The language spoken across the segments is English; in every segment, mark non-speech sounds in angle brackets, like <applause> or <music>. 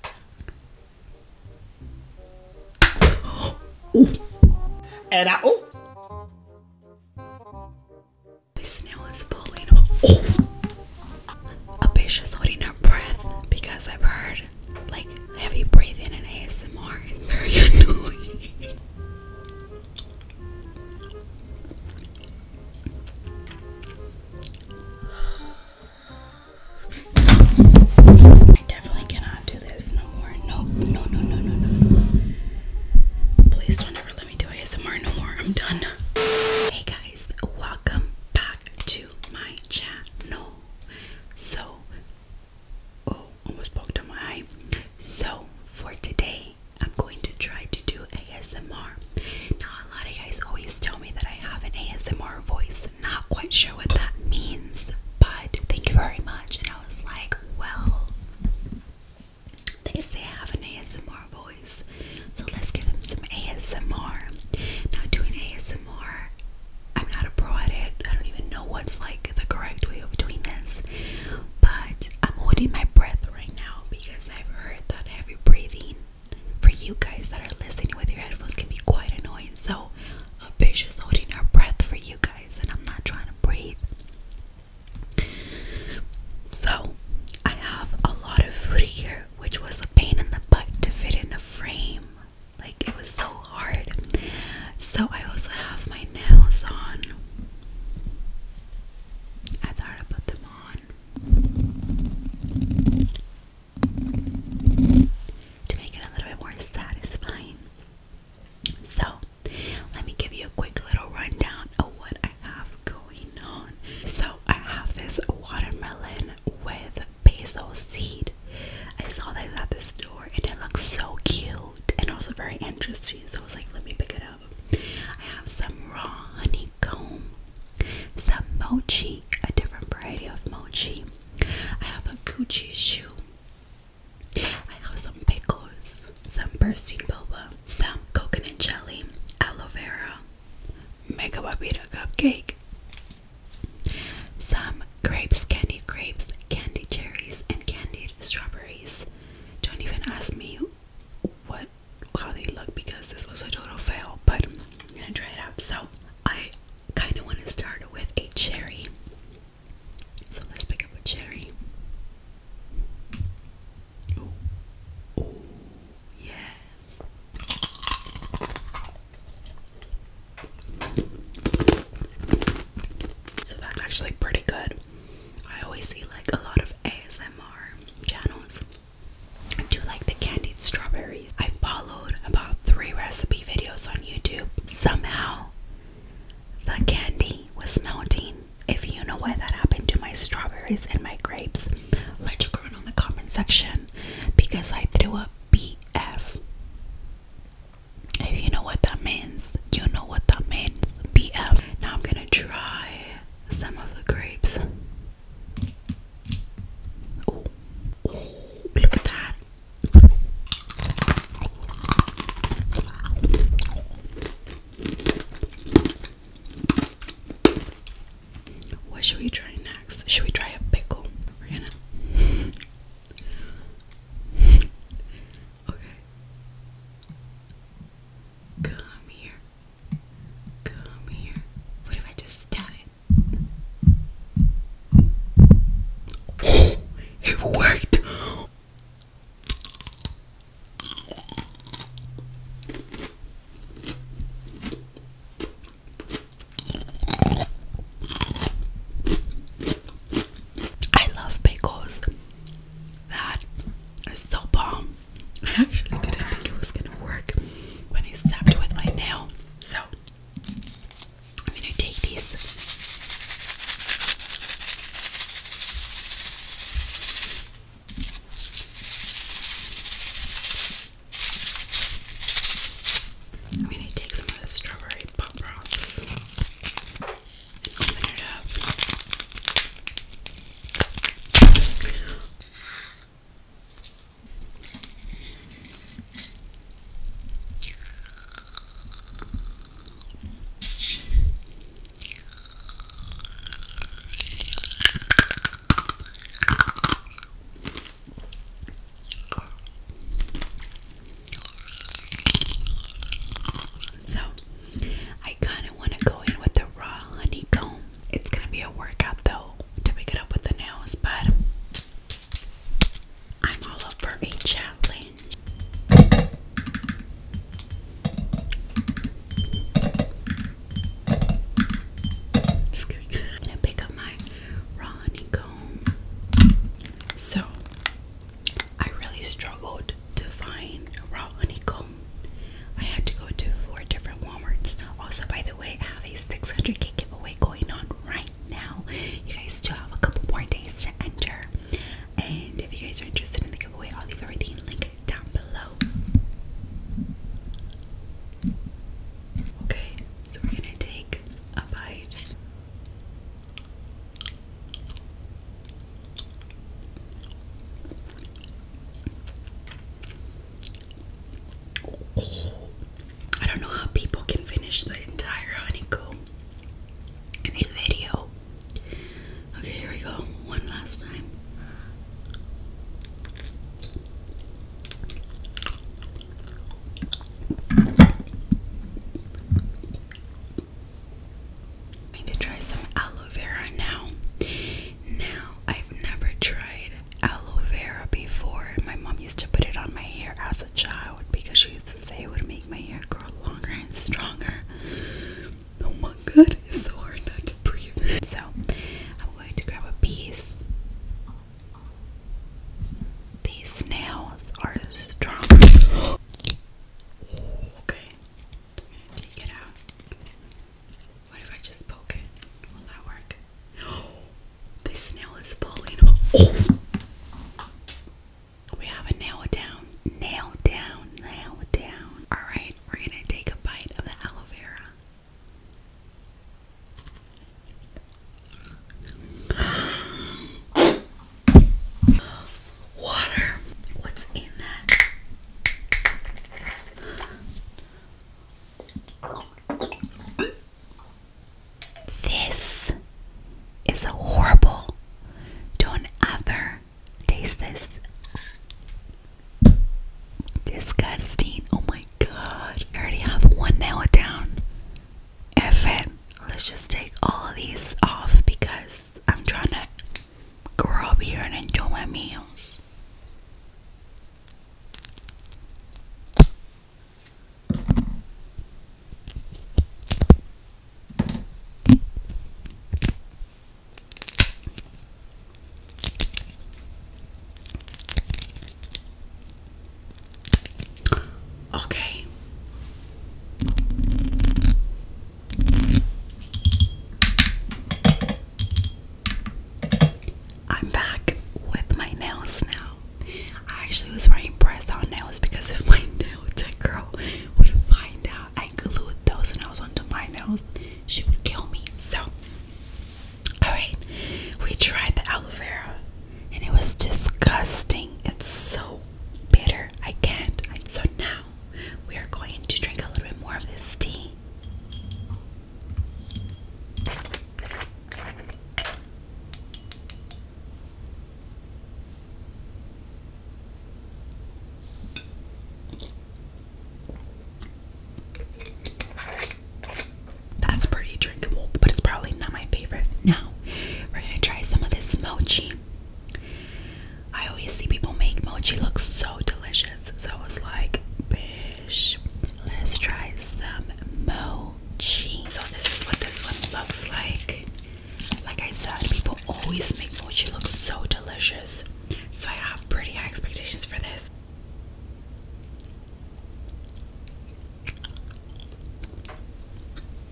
<gasps> Ooh. And oh the snail is falling. Oh a is holding her breath because I've heard like heavy breathing and ASMR is very <laughs> annoying. I definitely cannot do this no more. Nope. No, no, no, no, no. Please don't ever let me do ASMR no more. I'm done. Hey guys, welcome back to my channel. So, oh, almost poked on my eye. So, for today, I'm going to try to do ASMR. Now, a lot of guys always tell me that I have an ASMR voice was not quite sure what that means, but thank you very much. And I was like, well, they say ASMR voice, so let's give them some ASMR. Now, doing ASMR, I'm not a pro at it, I don't even know what's like the correct way of doing this, but I'm holding my breath right now because I've heard that heavy breathing for you guys that are listening with your headphones can be quite annoying. So a bitch is holding her breath for you guys, and I'm not trying to breathe. So I have a lot of food here, which was a pain in the butt to fit in a frame. Like it was so hard. So I also have my nails on. I thought I them on to make it a little bit more satisfying. So, let me give you a quick little rundown of what I have going on. So, I have this watermelon with basil seed. I saw this at the store and it looks so cute and also very interesting. So, I was like, let me pick it up. I have some raw honeycomb, some mochi, a different variety of mochi, I have a Gucci shoe. I have some pickles, some Percy boba, some coconut jelly, aloe vera, mega babita cupcake, some grapes, candied grapes, candied cherries, and candied strawberries. Don't even ask me what how they look because this was a total fail, but I'm gonna try it out. So I kind of want to start with a cherry. So let's pick up a cherry. yes. So that's actually pretty good. I always see like a lot of ASMR channels do like the candied strawberries. I follow about three recipe videos on YouTube. Somehow, the candy was melting. If you know why that happened to my strawberries and my grapes, let you know in the comment section because I threw up BF. If you know what that means, you know what that means. BF. Now I'm gonna try some of the grapes look at that. What should we try next? Should we try a pickle? We're gonna. okay. Come here. Come here. What if I just stab it? <gasps> it worked. I love pickles. That is so bomb. I actually didn't think it was gonna work but I stabbed it with my nail. So I'm going to take these I'm going to take some of the strawberry pop rocks so, I kind of want to go in with the raw honeycomb. It's going to be a workout though to pick it up with the nails, but I'm all up for a challenge. I'm gonna pick up my raw honeycomb. So, I really struggled to find raw honey comb. I had to go to four different Walmarts. Also, by the way, I have a 600k giveaway going on right now. You guys still have a couple more days to enter. And if you guys are interested in the giveaway, I'll leave everything linked down below. Okay, so we're gonna take a bite. I don't know how people can finish the entire honeycomb in a video. Okay, here we go. One last time. I need to try some aloe vera now. Now, I've never tried aloe vera before. My mom used to put it on my hair as a child because she used to say it would make my hair grow longer and stronger. Oh my god, it's so hard not to breathe. So, I'm going to grab a piece. These snails are strong. okay, take it out. What if I just poke it? Will that work? <gasps> This nail is falling oh. We have a nail down, nail down, nail down. Alright, we're gonna take a bite of the aloe vera. <gasps> Water. What's in that? This is horrible. Don't ever taste this. Disgusting. Oh my god. I already have one nail down. F Let's just take all of these off because I'm trying to grow up here and enjoy my meals. Okay. I'm back with my nails now. I actually was very impressed on nails because if my <laughs> nail tech girl would find out I glued those nails onto my nails, she would kill me. So, alright, we tried the aloe vera and it was disgusting. It's so bitter. I can't. So now we are going to drink a little bit more of this tea. That's pretty drinkable, but it's probably not my favorite. Now, we're gonna try some of this mochi. I always see people make mochi look so delicious, so I was like, bish, let's try some mo mochi. So this is what this one looks like. Like I said, people always make mochi look so delicious. So I have pretty high expectations for this.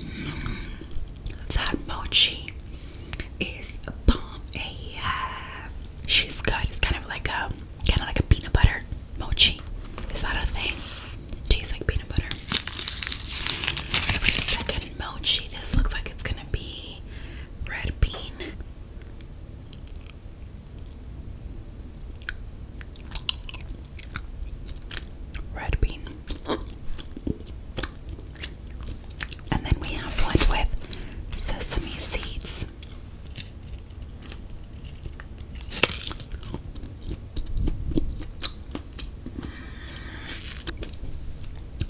Mm. that mochi is bomb AF. She's good. It's kind of like a kind of like a peanut butter mochi. Is that a thing? Tastes like peanut butter. Every second mochi. This looks like it's gonna be red bean. Red bean. And then we have one with sesame seeds.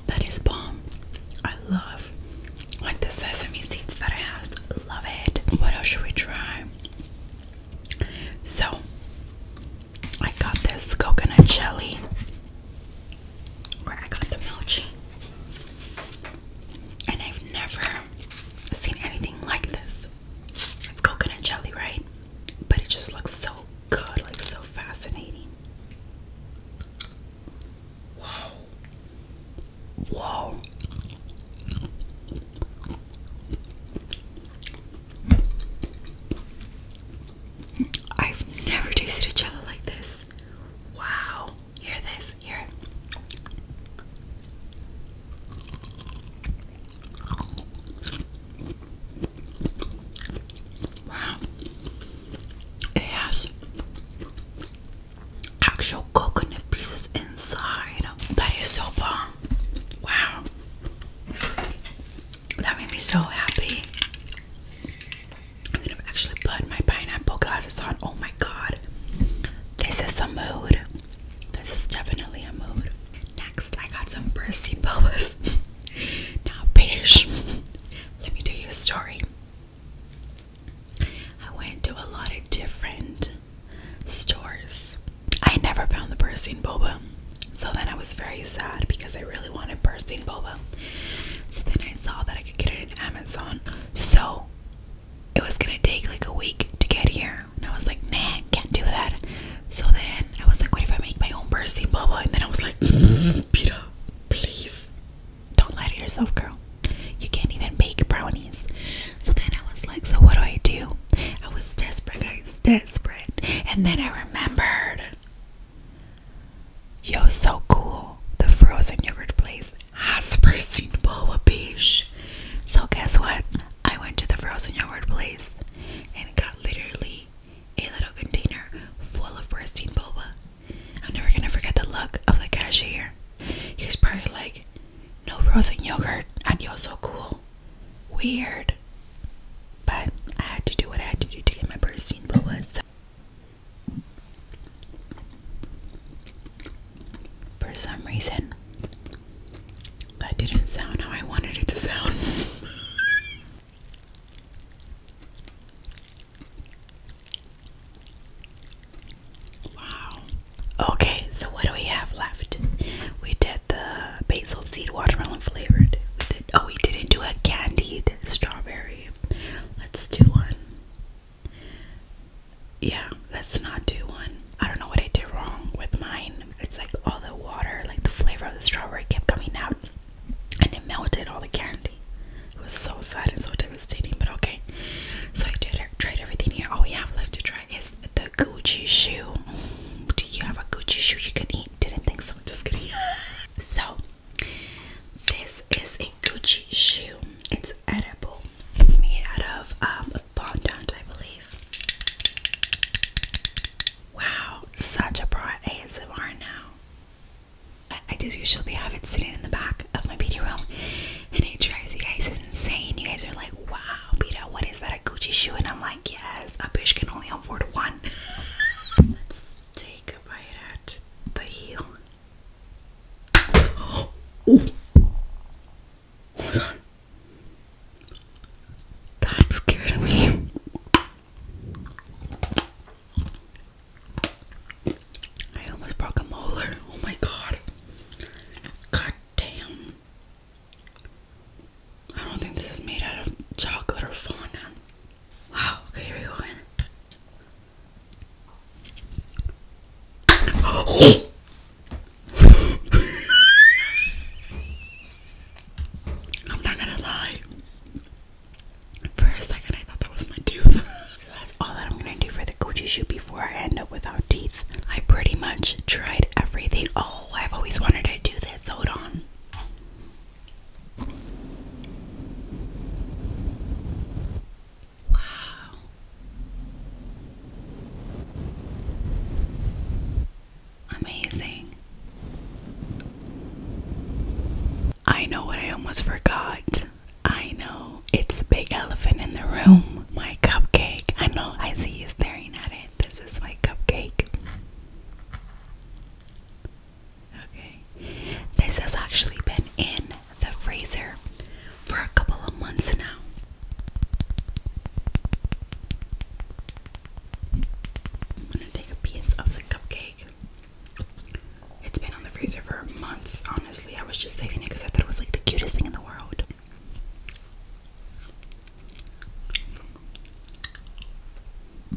That is bomb. I love like the sesame seeds that it has. Love it. What else should we try? So I got this coconut jelly. Or I got the mochi. And I've never seen anything like this. It's coconut jelly, right? But it just looks so good, like so fascinating. Whoa. Whoa. I've never tasted a jello like this. Wow. Hear this? Hear it. Wow. It actual coconut pieces inside. That is so bomb. Wow. That made me so happy. I'm gonna actually put my pineapple glasses on. Oh my god. This is a mood. This is definitely a mood. Next, I got some Percy boas. <laughs> now, Paige, let me tell you a story. I went to a lot of different stores. I never found the bursting boba. So then I was very sad because I really wanted bursting boba. So then I saw that I could get it in Amazon. So it was gonna take like a week to get here. And I was like, nah, can't do that. So then I was like, what if I make my own bursty blah And then I was like, <laughs> Peter, please don't lie to yourself, girl. You can't even bake brownies. So then I was like, so what do I do? I was desperate, guys, desperate. And then I remembered. Yo, so cool. The frozen yogurt place has bursting boba beach. So guess what? I went to the frozen yogurt place and got literally a little container full of bursting boba. I'm never gonna forget the look of the cashier. He was probably like, No frozen yogurt, and you're so cool. Weird. But I had to do what I had to do to get my bursting boba. So for some reason, that didn't sound how I wanted it to sound. <laughs> wow. Okay, so what do we have left? We did the basil seed watermelon flavored. We did, oh, we didn't do a candied strawberry. Let's do one. Yeah, let's not do one. I don't know what I did wrong with mine. It's like all the water, like the flavor of the strawberry kept coming out and it melted all the candy. It was so sad and so devastating, but okay. So I tried everything here. All we have left to try is the Gucci shoe. Do you have a Gucci shoe you can eat? Didn't think so, just kidding. <laughs> So this is a Gucci shoe. It's edible. It's made out of um, fondant, I believe. Wow, such a broad ASMR now. I, I do usually have it sitting in the back of my beauty room, and it drives you guys insane. You guys are like, wow, Beta, what is that, a Gucci shoe? And I'm like, yes, a bitch can only afford one. <laughs> Let's take a bite at the heel. <gasps> Oh my god. That scared me. I almost broke a molar. Oh my god. God damn. I don't think this is made out of chocolate or fauna. Wow, okay, here we go <gasps> <laughs> I'm not gonna lie. For a second, I thought that was my tooth. <laughs> so that's all that I'm gonna do for the Gucci shoot before I end up without teeth. I pretty much tried everything. Oh, I've always wanted to do this. Hold on. Wow. Amazing. I know what I almost forgot. I know it's the big elephant in the room. My cupcake. I know, I see you staring at it. This is my cupcake. Okay. This has actually been in the freezer for a couple of months now. I'm gonna take a piece of the cupcake. It's been on the freezer for months, honestly. I was just saving it because I thought it was like the cutest thing in the world.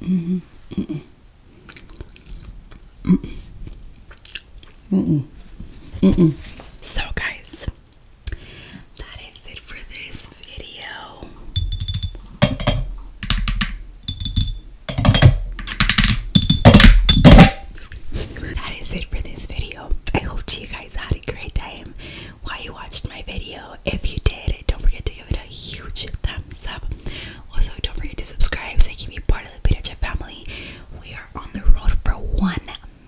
Mm -hmm. Mm -mm. Mm -mm. Mm -mm. Mm -mm. So, guys, that is it for this video. That is it for this video. I hope you guys had a great time while you watched my video. If you did, don't forget to give it a huge thumbs up. Also, don't forget to subscribe so you can be part of the Pitacha family. We are on the road for one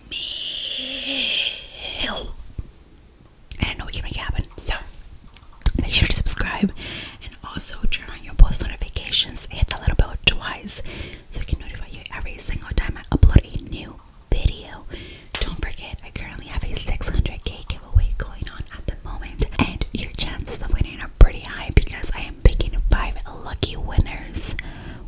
meal and I know what can make it happen. So make sure to subscribe and also turn on your post notifications. Hit that little bell twice so I can notify you every single time I upload a new video. Don't forget, I currently have a 600k giveaway going on at the moment, and your chances of winning are pretty high because I am picking five lucky winners.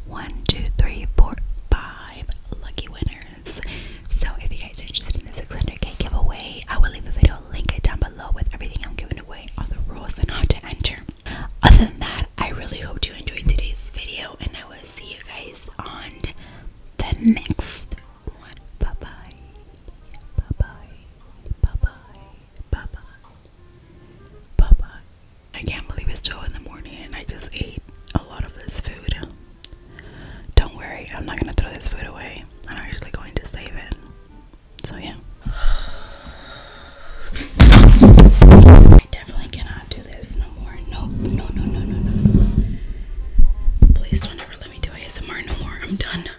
One, two, three, four, five lucky winners. So if you guys are interested in the 600k giveaway, I will leave a video link down below with everything I'm giving away, all the rules and how to enter. Other than that, I really hope you enjoyed today's video and I will see you guys on the next one. Bye-bye. Bye-bye. Bye-bye. Bye-bye. I can't believe it's 12 in the morning and I just ate a lot of this food. Don't worry, I'm not gonna throw this food away. I'm actually going to save it. So, yeah. I definitely cannot do this no more. Nope. No, no, no, no, no. Please don't ever let me do ASMR no more. I'm done.